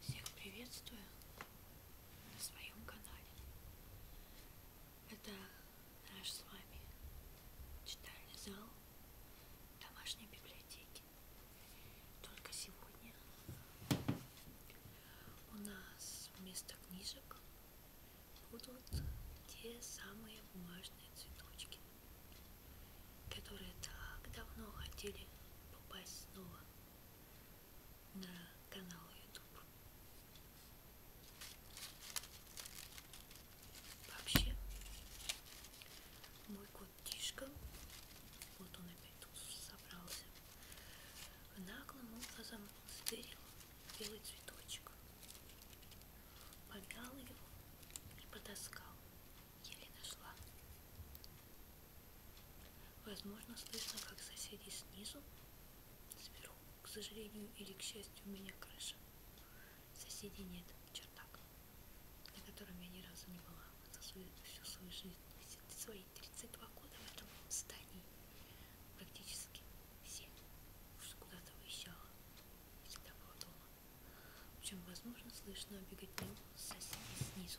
Всех приветствую на своем канале. Это наш с вами читальный зал домашней библиотеки. Только сегодня у нас вместо книжек будут те самые бумажные цветочки которые так давно хотели попасть снова на канал YouTube. Вообще, мой кот Тишка, вот он опять тут собрался, наглым образом стырил белый цветочек, помял его и потаскал еле нашла. Возможно, слышно, как соседи снизу, сверху, к сожалению или к счастью, у меня крыша. Соседей нет, чердак, на котором я ни разу не была за свою, всю свою жизнь. Свои 32 года в этом здании практически все уж куда-то уезжала, всегда была дома. Причем, возможно, слышно беготню соседей снизу.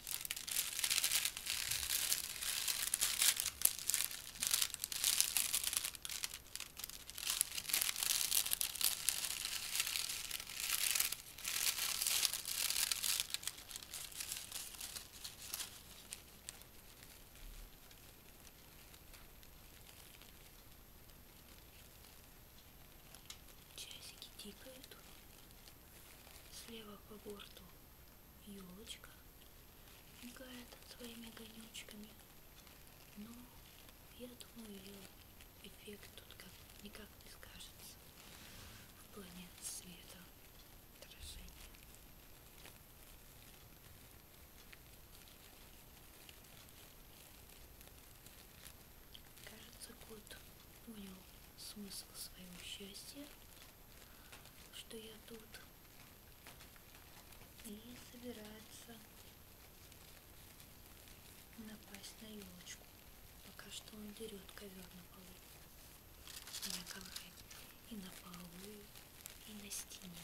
Часики тикают слева по борту елочка мигает своими огонечками. Но ну, я думаю, ее эффект тут как никак не скажется в плане света отражения. Кажется, кот понял смысл своего счастья что я тут и собирается напасть на елочку. Пока что он дерет ковер на полу. На ковре. И на полу, и на стене.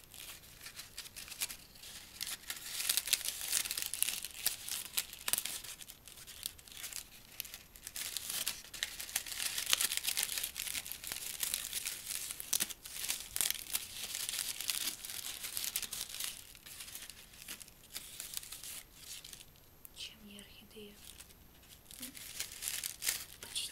Чем я орхидея? Почти.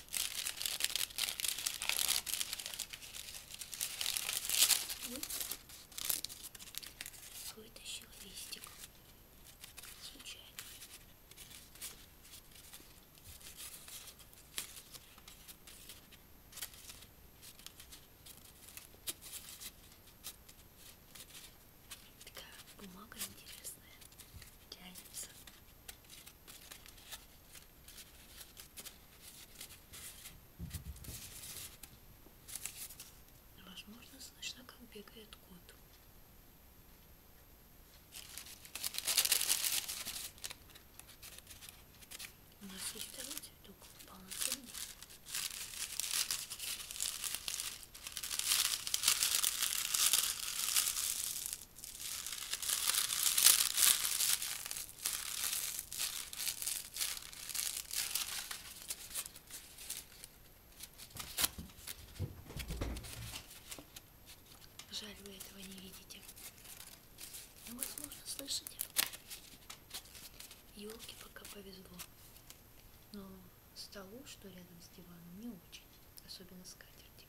Вытащила листик. Случайно. Такая бумага интересная. Тянется. Возможно, слышно, как бегает кот. У нас есть второй цветок, полноценный. Жаль, вы этого не видите. Но, ну, возможно, слышите. Елке пока повезло. Но столу, что рядом с диваном, не очень. Особенно скатерти.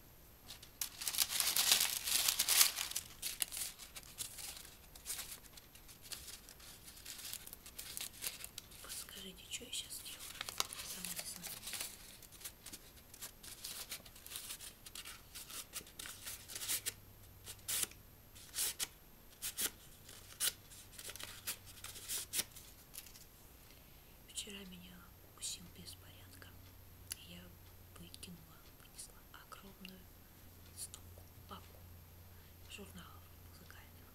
Подскажите, что я сейчас делаю? Сама не знаю. Вчера меня укусил беспорядка, и я выкинула, вынесла огромную стопку папку журналов музыкальных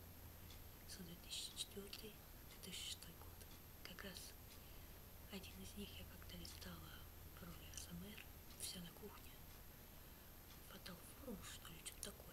с 2004 2006 год. Как раз один из них я когда листала в роли СМР, вся на кухне, фатал форум, что ли, что-то такое.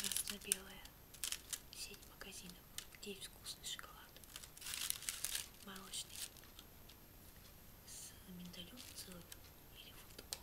Красно-белая сеть магазинов, где есть вкусный шоколад, молочный, с миндалем, целым или фундуком.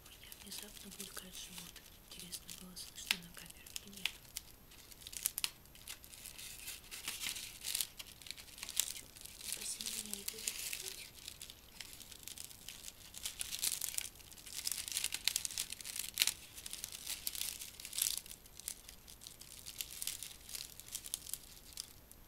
У меня внезапно булькает живот. Интересно, было слышно на камеру или нет? Спасибо, меня не будет чуть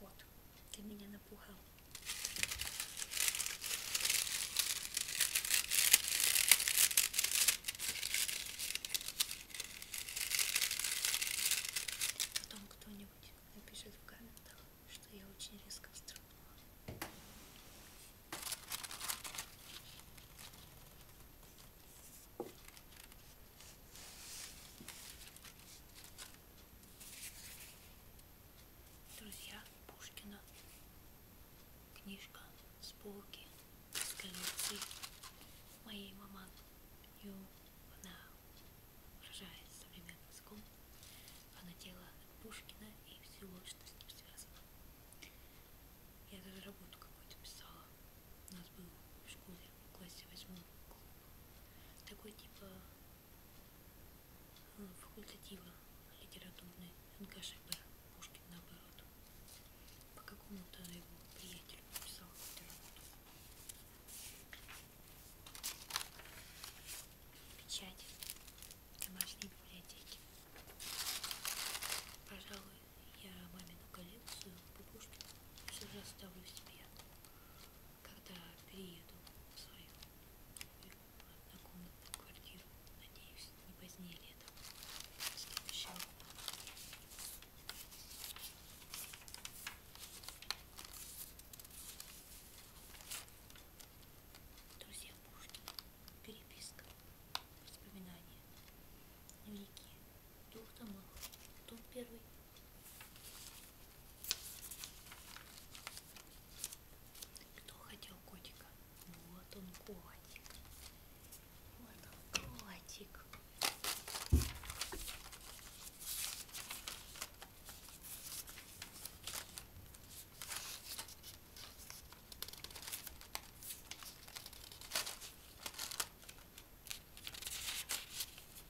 Вот, для меня напугал. Потом кто-нибудь напишет в комментах, что я очень резко вздрогнула. Друзья Пушкина. Книжка с полки с коллекции моей мамы. И она выражает современным языком. Она делала Пушкина и всего, что с ним связано. Я даже работу какую-то писала. У нас был в школе в классе восьмом такой типа э, факультатива литературный НКШП Пушкин наоборот по какому-то его приятелю написал какую-то работу печать домашней библиотеки пожалуй я мамину коллекцию по Пушкину все же оставлю себе когда перееду в свою однокомнатную квартиру, надеюсь, не позднее летом, в следующем Друзья Пушкина, переписка, воспоминания, дневники двух томов, том первый. Кто хотел котика? Вот он котик. Вот он котик.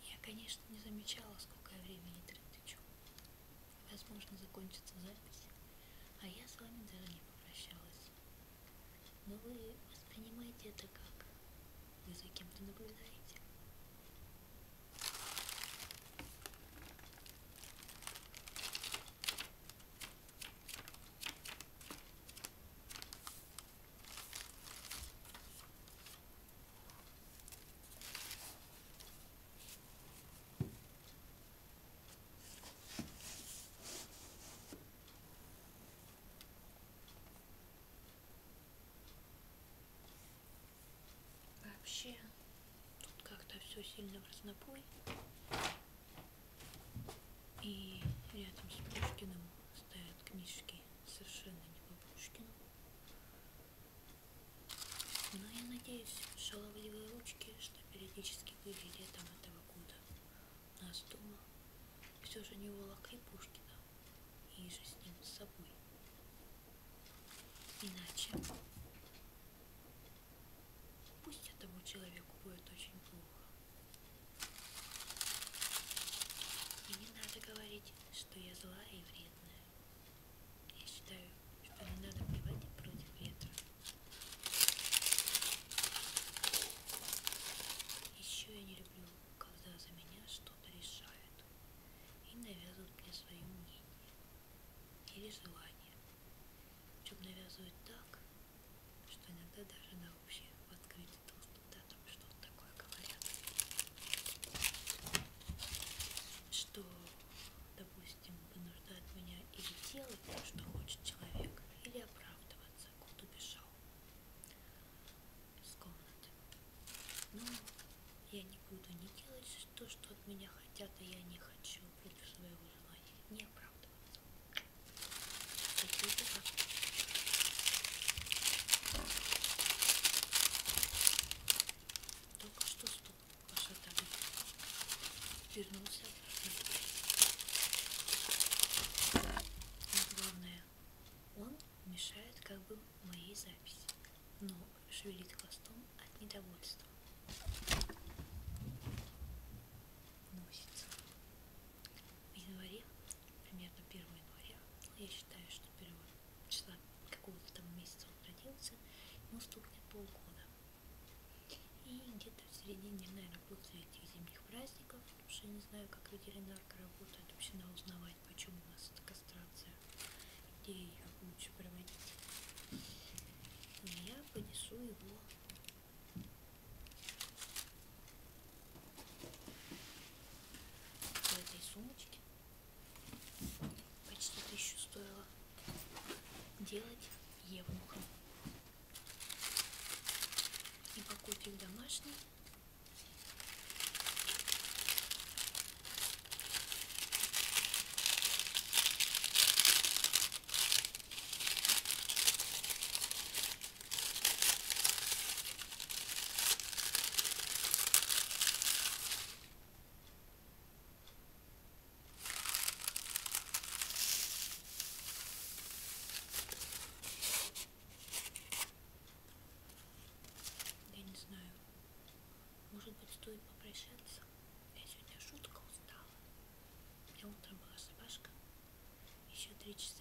Я, конечно, не замечала, сколько я времени трачу. Возможно, закончится запись, а я с вами даже не попрощалась. Но вы воспринимаете это как? Вы за кем-то наблюдаете? Вообще, тут как-то все сильно в разнобой. И рядом с Пушкиным стоят книжки. Бабушки. Совершенно не Бабушкин. Но я надеюсь, шаловливые ручки, что периодически были летом этого года у нас дома, все же не волокли Пушкина и же с ним с собой. Иначе пусть этому человеку будет очень плохо. И не надо говорить, что я злая и вредная. Я считаю, что не надо плевать против ветра. Еще я не люблю, когда за меня что-то решают и навязывают мне свое мнение или желание. Причем навязывают так, что иногда даже на общее в открытую думают о том, что он такое говорят, что, допустим, вынуждает меня или делать то, что хочет человек, или оправдываться, куда бежал из комнаты. Но я не буду не делать то, что от меня хотят, а я не хочу против своего желания. Не оправдываться. Только что стул пошатали. Вернулся обратно. Но главное, он мешает как бы моей записи, но шевелит хвостом от недовольства. Носится в январе, примерно 1 января, я считаю, что 1 числа какого-то там месяца он родился, ему стукнет полгода. И где-то в середине, наверное, после этих зимних праздников, потому что я не знаю, как ветеринарка работает, вообще надо узнавать, почему у нас эта кастрация, где ее лучше проводить. И я понесу его в этой сумочке почти тысячу стоило делать евнуха. И покупик домашний. Я не знаю. Может быть, стоит попрощаться? Я сегодня шутка устала. У меня утром была собачка. Еще три часа